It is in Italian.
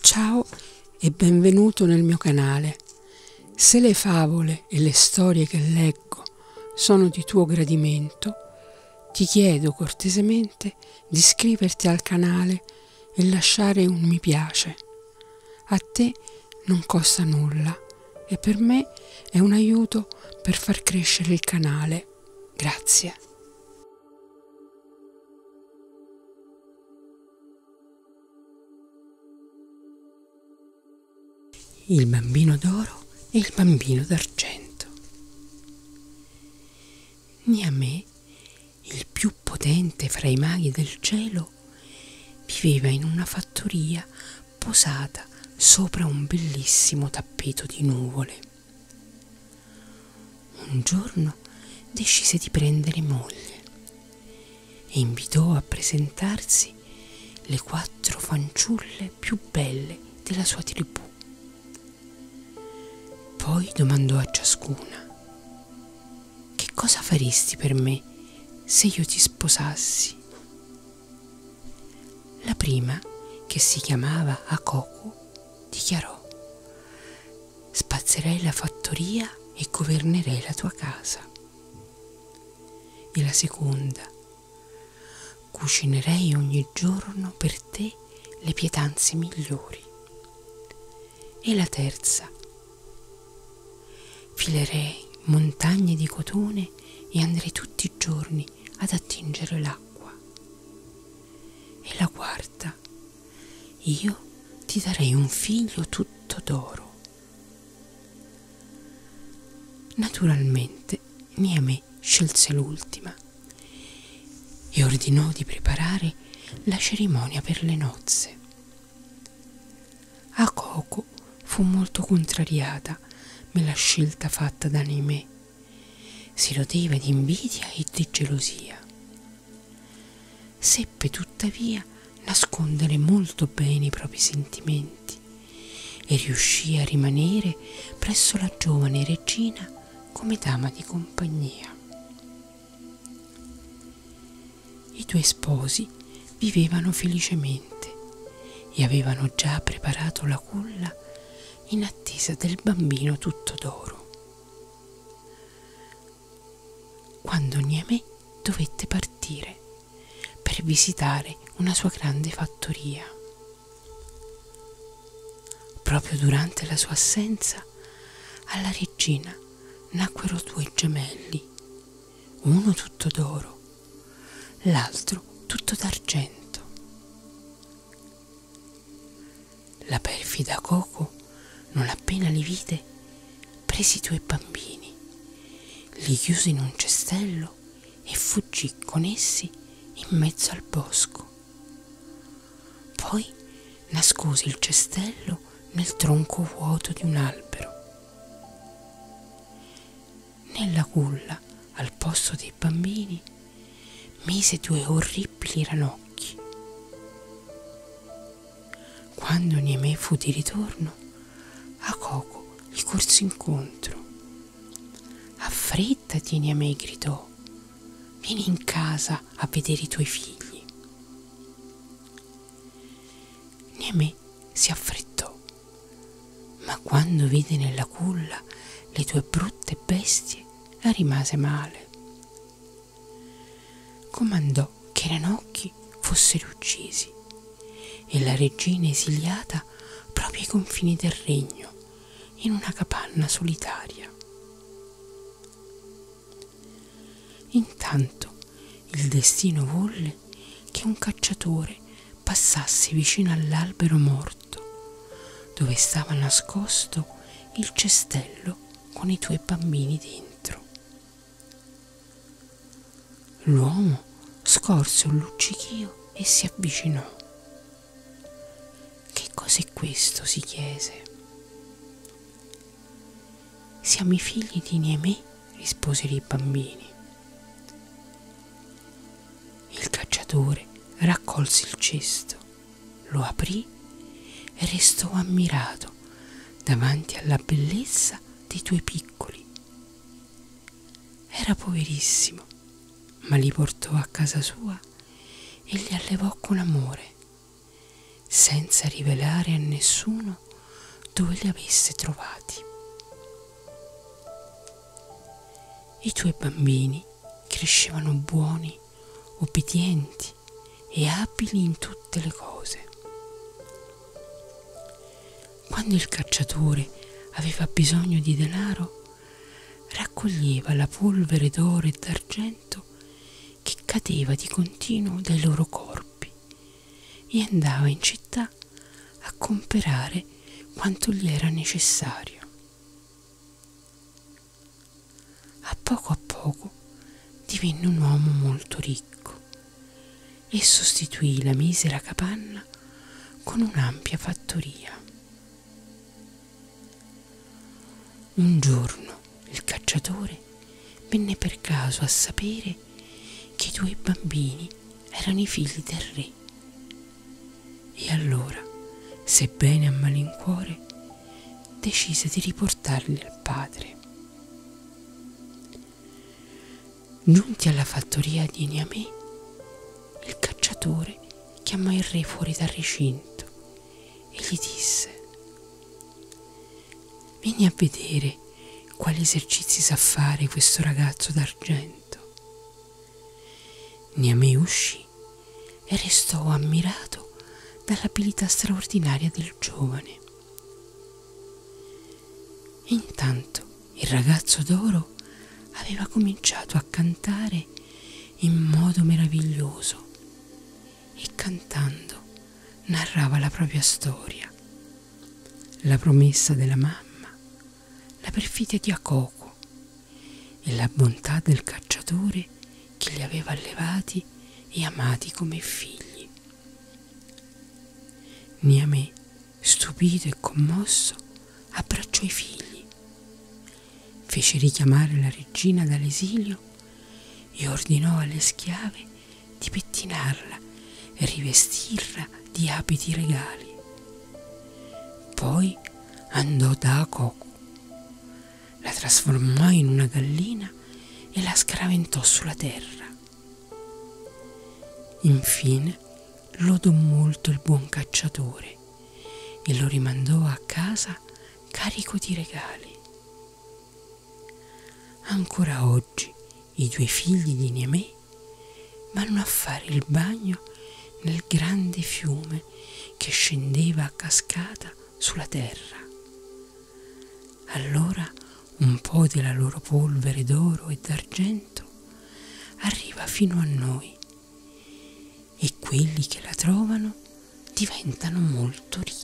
Ciao e benvenuto nel mio canale. Se le favole e le storie che leggo sono di tuo gradimento, ti chiedo cortesemente di iscriverti al canale e lasciare un mi piace. A te non costa nulla e per me è un aiuto per far crescere il canale. Grazie. Il bambino d'oro e il bambino d'argento. Niamè, il più potente fra i maghi del cielo, viveva in una fattoria posata sopra un bellissimo tappeto di nuvole. Un giorno decise di prendere moglie e invitò a presentarsi le quattro fanciulle più belle della sua tribù. Poi domandò a ciascuna che cosa faresti per me se io ti sposassi? La prima, che si chiamava Akoku, dichiarò Spazzerei la fattoria e governerei la tua casa. E la seconda, cucinerei ogni giorno per te le pietanze migliori e la terza. Filerei montagne di cotone e andrei tutti i giorni ad attingere l'acqua. E la quarta, io ti darei un figlio tutto d'oro. Naturalmente Niame scelse l'ultima e ordinò di preparare la cerimonia per le nozze. A Coco fu molto contrariata per la scelta fatta da Neme. Si rodeva di invidia e di gelosia. Seppe tuttavia nascondere molto bene i propri sentimenti e riuscì a rimanere presso la giovane regina come dama di compagnia. I due sposi vivevano felicemente e avevano già preparato la culla in attesa del bambino tutto d'oro. Quando Niamè dovette partire per visitare una sua grande fattoria. Proprio durante la sua assenza alla regina nacquero due gemelli, uno tutto d'oro, l'altro tutto d'argento. La perfida Coco, non appena li vide, prese i due bambini, li chiuse in un cestello e fuggì con essi in mezzo al bosco. Poi nascose il cestello nel tronco vuoto di un albero. Nella culla, al posto dei bambini, mise due orribili ranocchi. Quando Niemè fu di ritorno, a Coco gli corse incontro. Affrettati, Niamei gridò, vieni in casa a vedere i tuoi figli. Neme si affrettò, ma quando vide nella culla le due brutte bestie rimase male. Comandò che Ranocchi fossero uccisi e la regina esiliata proprio ai confini del regno, in una capanna solitaria. Intanto il destino volle che un cacciatore passasse vicino all'albero morto, dove stava nascosto il cestello con i tuoi bambini dentro. L'uomo scorse un luccichio e si avvicinò. Che cos'è questo? si chiese. Siamo i figli di Niemè, risposero i bambini. Il cacciatore raccolse il cesto, lo aprì e restò ammirato davanti alla bellezza dei due piccoli. Era poverissimo, ma li portò a casa sua e li allevò con amore, senza rivelare a nessuno dove li avesse trovati. I tuoi bambini crescevano buoni, obbedienti e abili in tutte le cose. Quando il cacciatore aveva bisogno di denaro, raccoglieva la polvere d'oro e d'argento che cadeva di continuo dai loro corpi e andava in città a comperare quanto gli era necessario. A poco a poco divenne un uomo molto ricco e sostituì la misera capanna con un'ampia fattoria. Un giorno il cacciatore venne per caso a sapere che i due bambini erano i figli del re. E allora, sebbene a malincuore, decise di riportarli al padre. Giunti alla fattoria di Niamey, il cacciatore chiamò il re fuori dal recinto e gli disse: Vieni a vedere quali esercizi sa fare questo ragazzo d'argento. Niamey uscì e restò ammirato dall'abilità straordinaria del giovane. Intanto il ragazzo d'oro aveva cominciato a cantare in modo meraviglioso e cantando narrava la propria storia, la promessa della mamma, la perfidia di Akoku e la bontà del cacciatore che li aveva allevati e amati come figli. Niamè Stupito e commosso, abbracciò i figli, fece richiamare la regina dall'esilio e ordinò alle schiave di pettinarla e rivestirla di abiti regali. Poi andò da Akoku, la trasformò in una gallina e la scaraventò sulla terra. Infine lodò molto il buon cacciatore e lo rimandò a casa carico di regali. Ancora oggi i due figli di Niamey vanno a fare il bagno nel grande fiume che scendeva a cascata sulla terra. Allora un po' della loro polvere d'oro e d'argento arriva fino a noi e quelli che la trovano diventano molto ricchi.